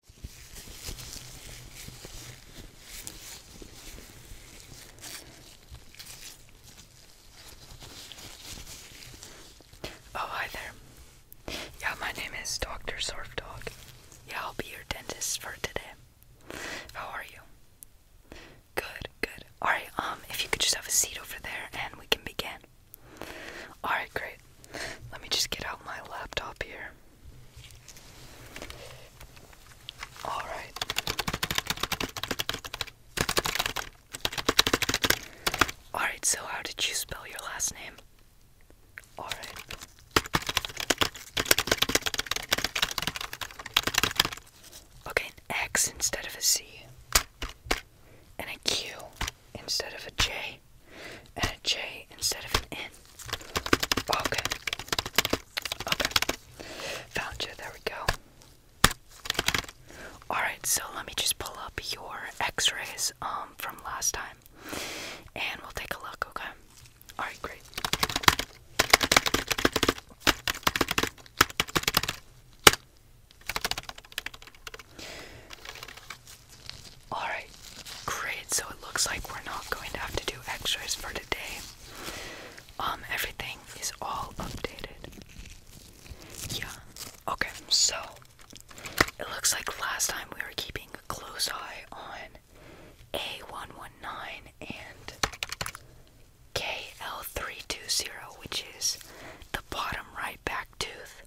Oh, hi there. Yeah, my name is Dr. Surf Dog. Yeah, I'll be your dentist for today. How are you? Good, good. Alright, um, if you could just have a seat over there and we can begin. Alright, great let me just get out my laptop here. Alright. Alright, so how did you spell your last name? Alright. Okay, an X instead of a C. And a Q instead of a J and a J instead of an N. Okay. Okay. Found you. There we go. Alright, so let me just pull up your x rays um, from last time and we'll take a look, okay? Alright, great. Alright, great. So it looks like we're not going to have to do x rays for today. Um, everything is all updated. Yeah. Okay, so it looks like last time we were keeping a close eye on A119 and KL320, which is the bottom right back tooth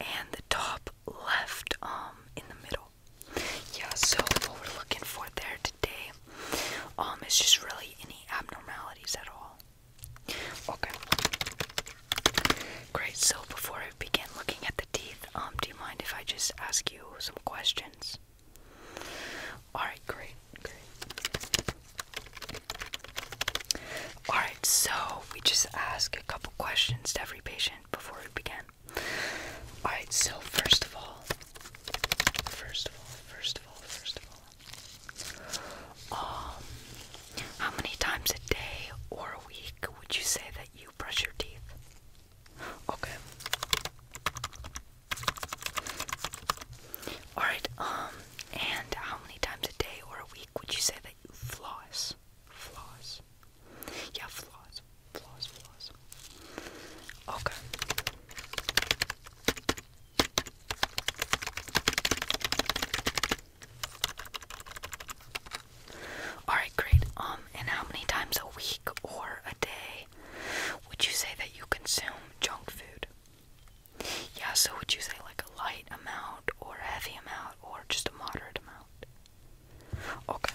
and the top left um in the middle. Yeah, so what we're looking for there today um, is just really any abnormalities at all. Okay. Great, so before I begin looking at the teeth, um, do you mind if I just ask you some questions? Alright, great, great. Alright, so we just ask a couple questions to every patient before we begin. Alright, so first of all, first of all, first of all, first of all, um, how many times a day or a week would you say that you brush your teeth? Okay. Alright, um, and how many times a day or a week would you say that you floss? Floss. Yeah, flaws. Flaws, flaws. Okay. Alright, great. Um, and how many times a week or a day would you say that you consume junk food? Yeah, so would you say like a light amount or a heavy amount or just a moderate amount? Okay.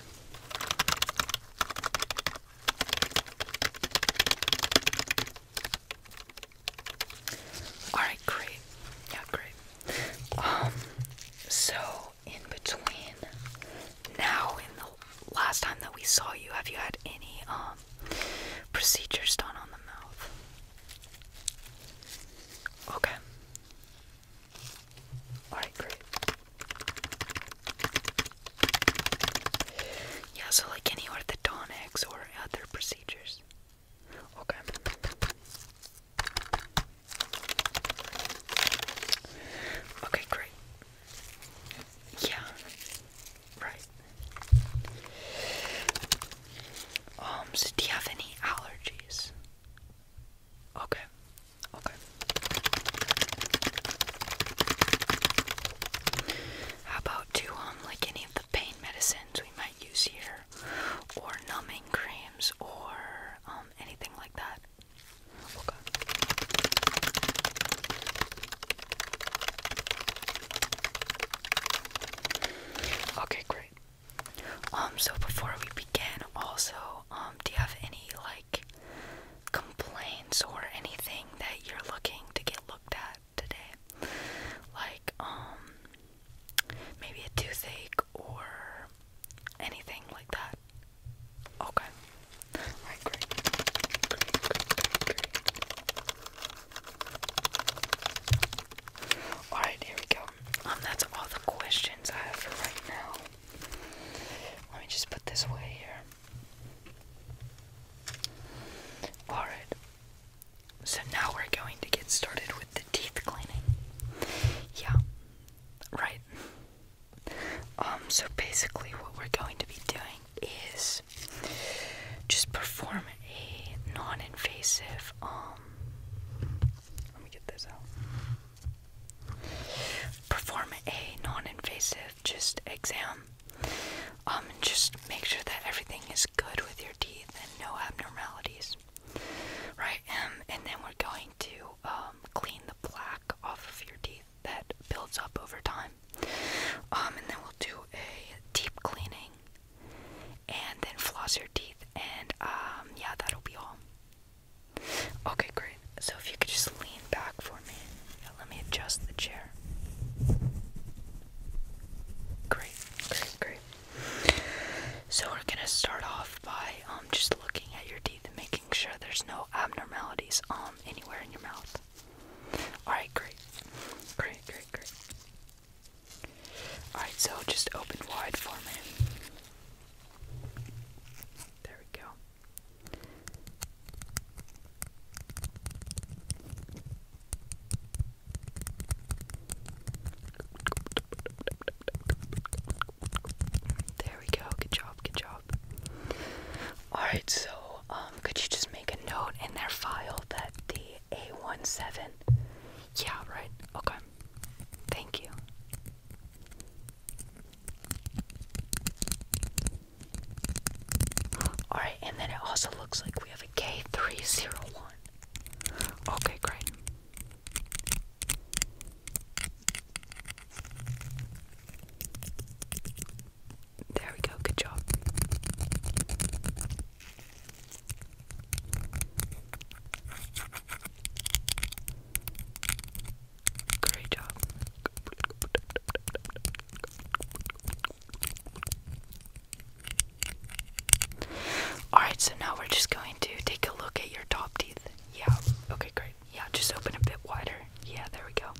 Alright, great. Yeah, great. Um, so in between now and the last time that we saw you, have you had any um procedures done on the mouth? Okay. Alright, great. Yeah, so like any orthodontics or other procedures. Okay. Okay, great. Yeah. Right. Um, so do you have any allergies? Okay. Okay. How about do um like any of the pain medicines we might use here, or numbing creams, or um anything like that? Okay. Okay, great. Um, so before we begin, also, um, do you have any like complaints or anything that you're looking to get looked at today. Like, um, maybe a toothache or anything like that. Okay. Alright, great. Alright, here we go. Um, that's all the questions I have for right now. Let me just put this away here. Alright. So now we're going to get started with the teeth cleaning. Yeah. Right. Um, so basically what we're going to be doing is just perform a non-invasive um let me get this out. Perform a non-invasive just exam. Um, and just make sure that everything is good with your teeth and no abnormalities. Right, um, and then we're going to um, clean the plaque off of your teeth that builds up over time. Um, and then we'll do a deep cleaning and then floss your teeth, and um, yeah, that'll be all. Okay, great. So if you could just lean back for me. Let me adjust the chair. Great, great, great. So we're gonna start off by um just looking at your teeth and making sure there's no abnormalities um anywhere in your mouth. Alright, great. Great, great, great. Alright, so just open wide for me. There we go. There we go. Good job. Good job. All right. So, um, could you just make a note in their file that the A17? Yeah. Right. Okay. Thank you. Alright, and then it also looks like we have a K301. Okay, great. There we go, good job. Great job. Alright, so now we're just going to take a look at your top teeth. Yeah, okay, great. Yeah, just open a bit wider. Yeah, there we go.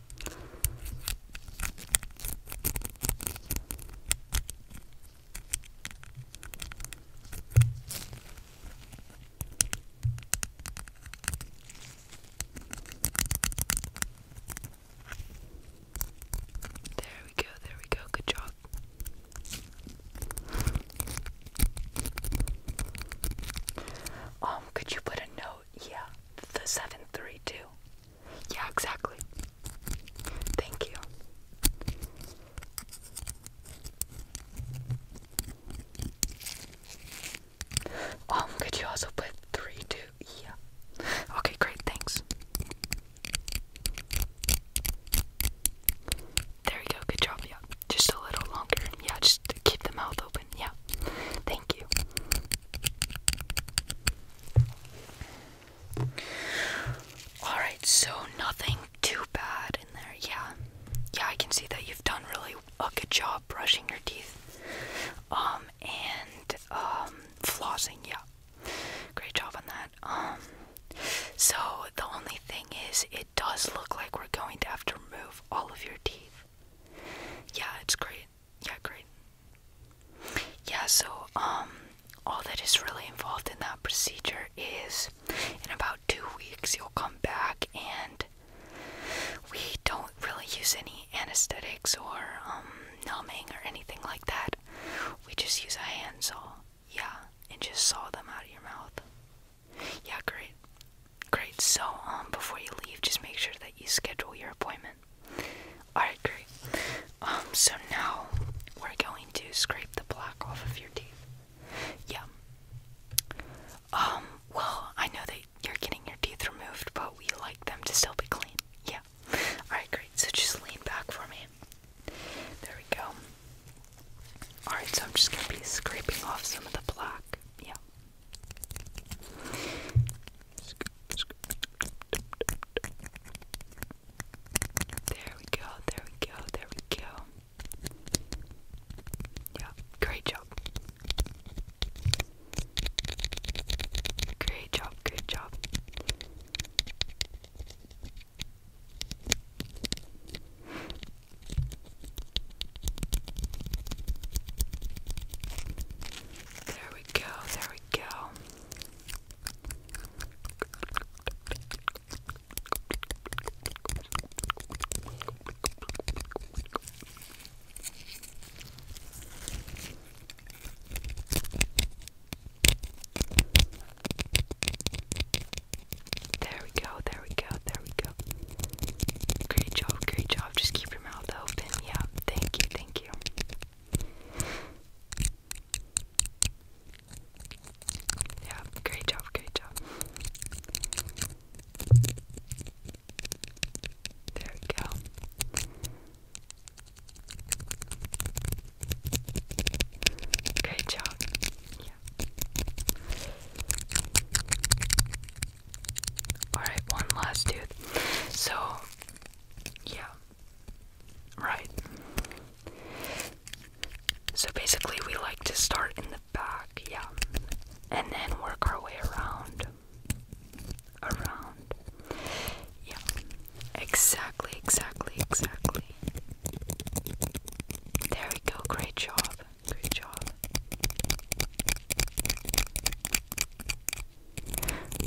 There we go, there we go, good job. Um, could you put a note? Yeah, the 732. Yeah, exactly. Thank you. Um, could you also put three, two? Yeah. Okay, great, thanks. There you go, good job, yeah. Just a little longer. Yeah, just keep the mouth open, yeah. Thank you. Alright, so nothing too bad in there, yeah. Yeah, I can see that you've done really a good job uh, brushing your teeth, um, and um, flossing. Yeah, great job on that. Um, so the only thing is, it does look like we're going to have to remove all of your teeth. Yeah, it's great. Yeah, great. Yeah, so um, all that is really involved in that procedure is in about two weeks you'll come back and we don't really use any anesthetics or um, numbing or anything like that. We just use a handsaw. Yeah, and just saw them out of your mouth. Yeah, great. Great. So, um, before you leave, just make sure that you schedule your appointment. Alright, great. Um, so now we're going to scrape the plaque off of your teeth. Yeah. Um, well, I know that you're getting your teeth removed, but we like them to still be clean. Yeah. Alright, great. So just lean back for me. There we go. Alright, so I'm just going to be scraping off some of the black. Yeah. There we go, there we go, there we go. Yeah, great job. Great job, great job. There we go, there we go. There we go, there we go, there we go. Great job, great job. Just keep your mouth open. Yeah, thank you, thank you. Yeah, great job, great job. There we go. Great job. Yeah. Alright, one last dude. So, yeah. Right. So basically, we like to start in the back, yeah. And then work our way around around. Yeah, exactly, exactly, exactly. There we go. Great job. Great job.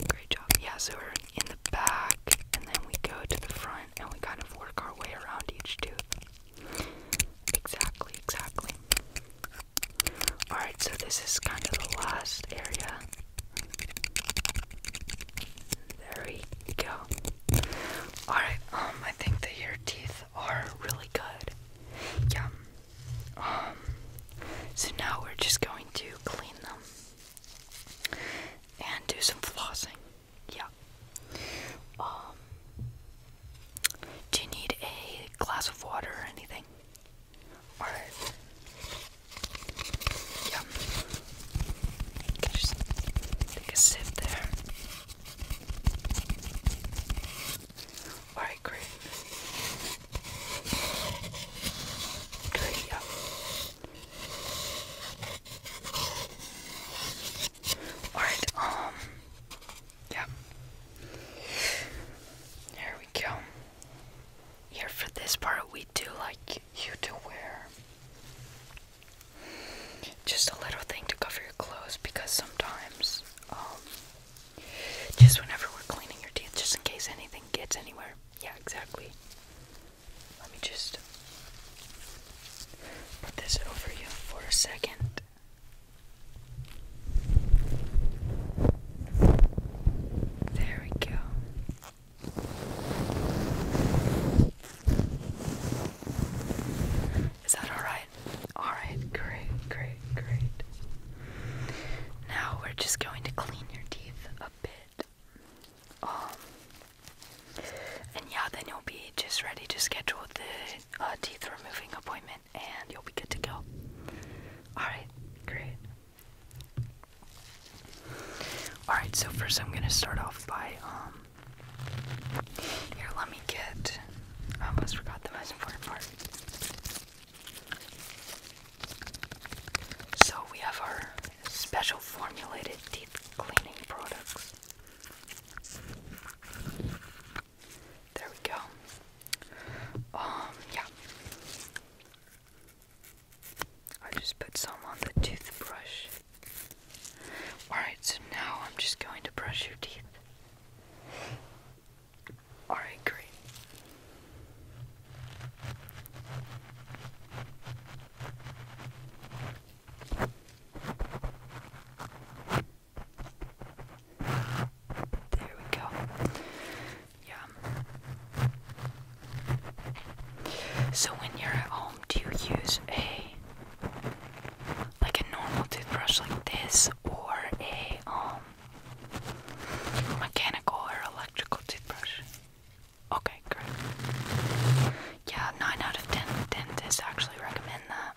Great job. Yeah, so we're in the back, and then we go to the front, and we kind of work our way around each tooth. Exactly, exactly. Alright, so this is kind of the last area. There we go. Alright, um, I think that your teeth are really good. Yeah. Um, so now we're just going to clean them and do some flossing. Yeah. Um, do you need a glass of water or anything? Alright. Yum. Just take a sip there. Alright, great. Great, yum. Alright, um yeah. There we go. Here for this part, we do like you to wear just a little thing to cover your clothes because sometimes, um, just whenever we're cleaning your teeth, just in case anything gets anywhere. Yeah, exactly. Let me just put this over you for a second. There we go. Is that alright? Alright, great, great, great. Now we're just going to clean your teeth a bit. Um, and yeah, then you'll be just ready to schedule the uh, teeth removing appointment and you'll be good to go. Alright, great. Alright, so first I'm gonna start off by um here let me get I almost forgot the most important part. So we have our special formulated deep cleaning products. There we go. Um, yeah. I just put some on the toothbrush. Alright, so now I'm just going to brush your teeth. Alright, great. There we go. Yeah. So when you're at home, do you use a like a normal toothbrush like this or a um mechanical or electrical toothbrush? Okay, great. Yeah, 9 out of 10 dentists actually recommend that.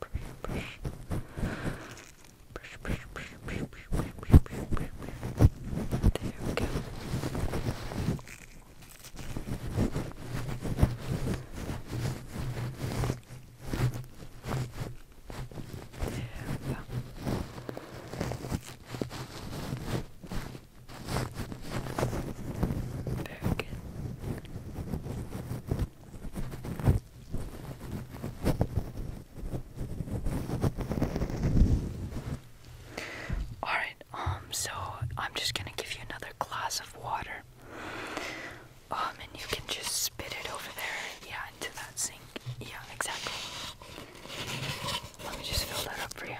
brush, brush, brush, brush, brush, brush, brush, brush, brush. There we go. There we go. Very good. Alright, um, so I'm just gonna give you another glass of water. Um, and you can just spit it over there, yeah, into that sink. Yeah, exactly. Let me just fill that up for you.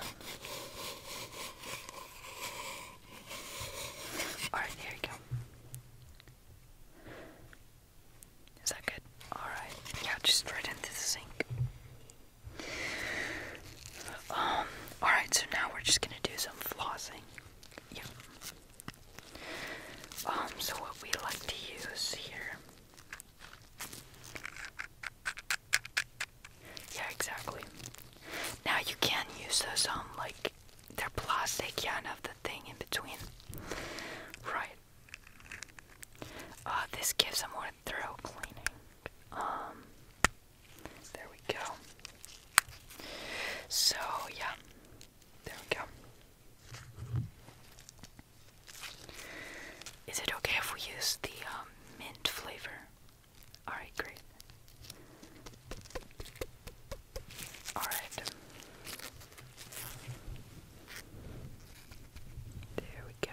Alright, here you go. Is that good? Alright. Yeah, just right into the sink. Um, alright, so now we're just gonna do some flossing. Yeah. Um, so what we like to use here. Yeah, exactly. Now you can use those on um, like they're plastic, you do the thing in between. Right. Uh, this gives a more thorough cleaning. Um, there we go. So, yeah. There we go. Is it okay if we use the um, mint flavor? Alright, great. All right. There we go. There you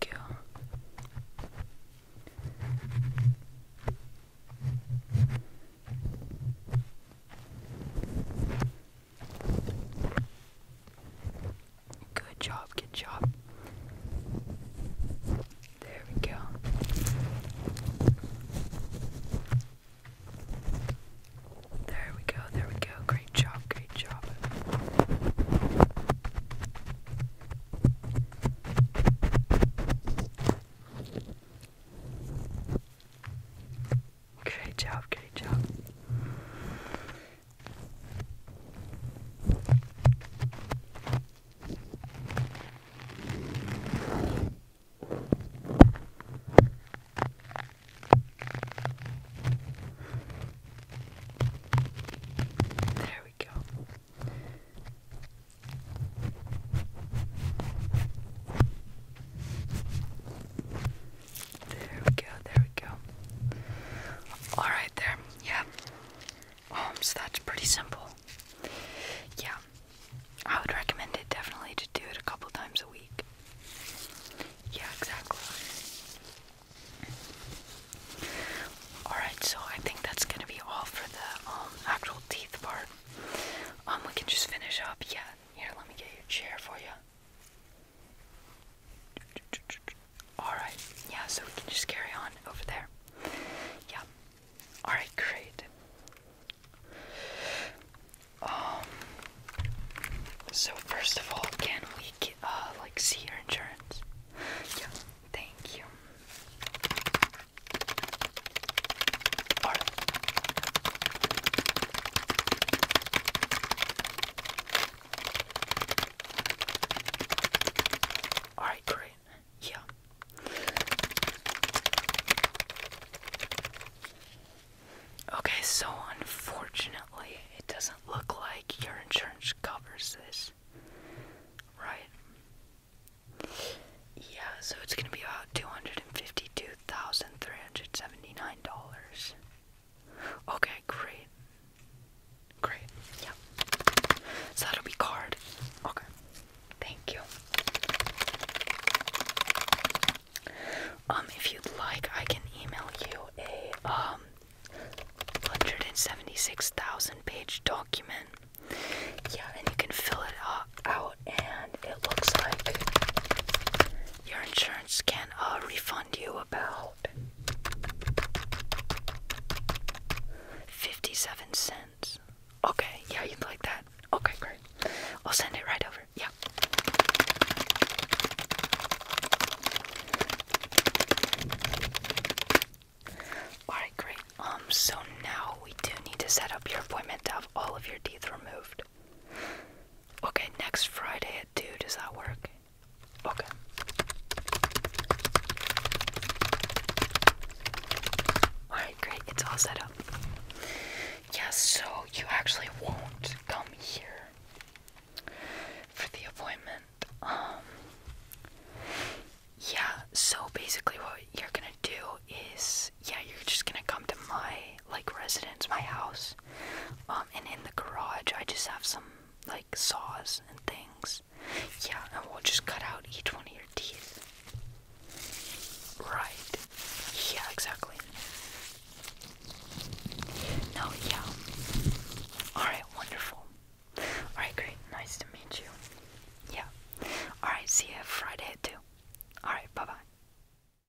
go. Good job, good job. There we go. There we go, there we go. Great job, great job. Great job, great job. There we go. There we go, there we go. Alright, there, yeah. Um, so that's pretty simple. Yeah, I would recommend it definitely to do it a couple times a week. Yeah, exactly. Alright, so I think that's gonna be all for the um, actual teeth part. Um, we can just finish up, yeah, here, let me get your chair for you. Alright, yeah, so we can just carry on over there. Yeah. Alright, great. Um so first of all can we uh, like see your insurance? Yeah, thank you. Alright. Alright, great. Yeah. Okay, so unfortunately, it doesn't look like your insurance covers this. Right? Yeah, so it's gonna be about 200 $152,379. Okay, great. Great. Yeah. So that'll be card. Okay. Thank you. Um, if you'd like, I can email you a um 176,000 page document. Yeah, and you can fill it out and it looks like your insurance can uh, refund you about 57 cents. Okay, yeah, you'd like that. Okay, great. I'll send it right over. Yeah. Alright, great. Um, so now we do need to set up your appointment to have all of your teeth removed. Okay, next Friday at 2, does that work? Okay. Alright, great, it's all set up. Yes, so you actually won't come here for the appointment. Um, yeah, so basically what you're gonna do is, yeah, you're just gonna come to my like residence, my house. Um, and in the garage, I just have some like saws and things. Yeah, and we'll just cut out each one of your teeth. Right. Yeah, exactly. No, yeah. Alright, wonderful. Alright, great. Nice to meet you. Yeah. Alright, see you Friday at Alright, bye bye.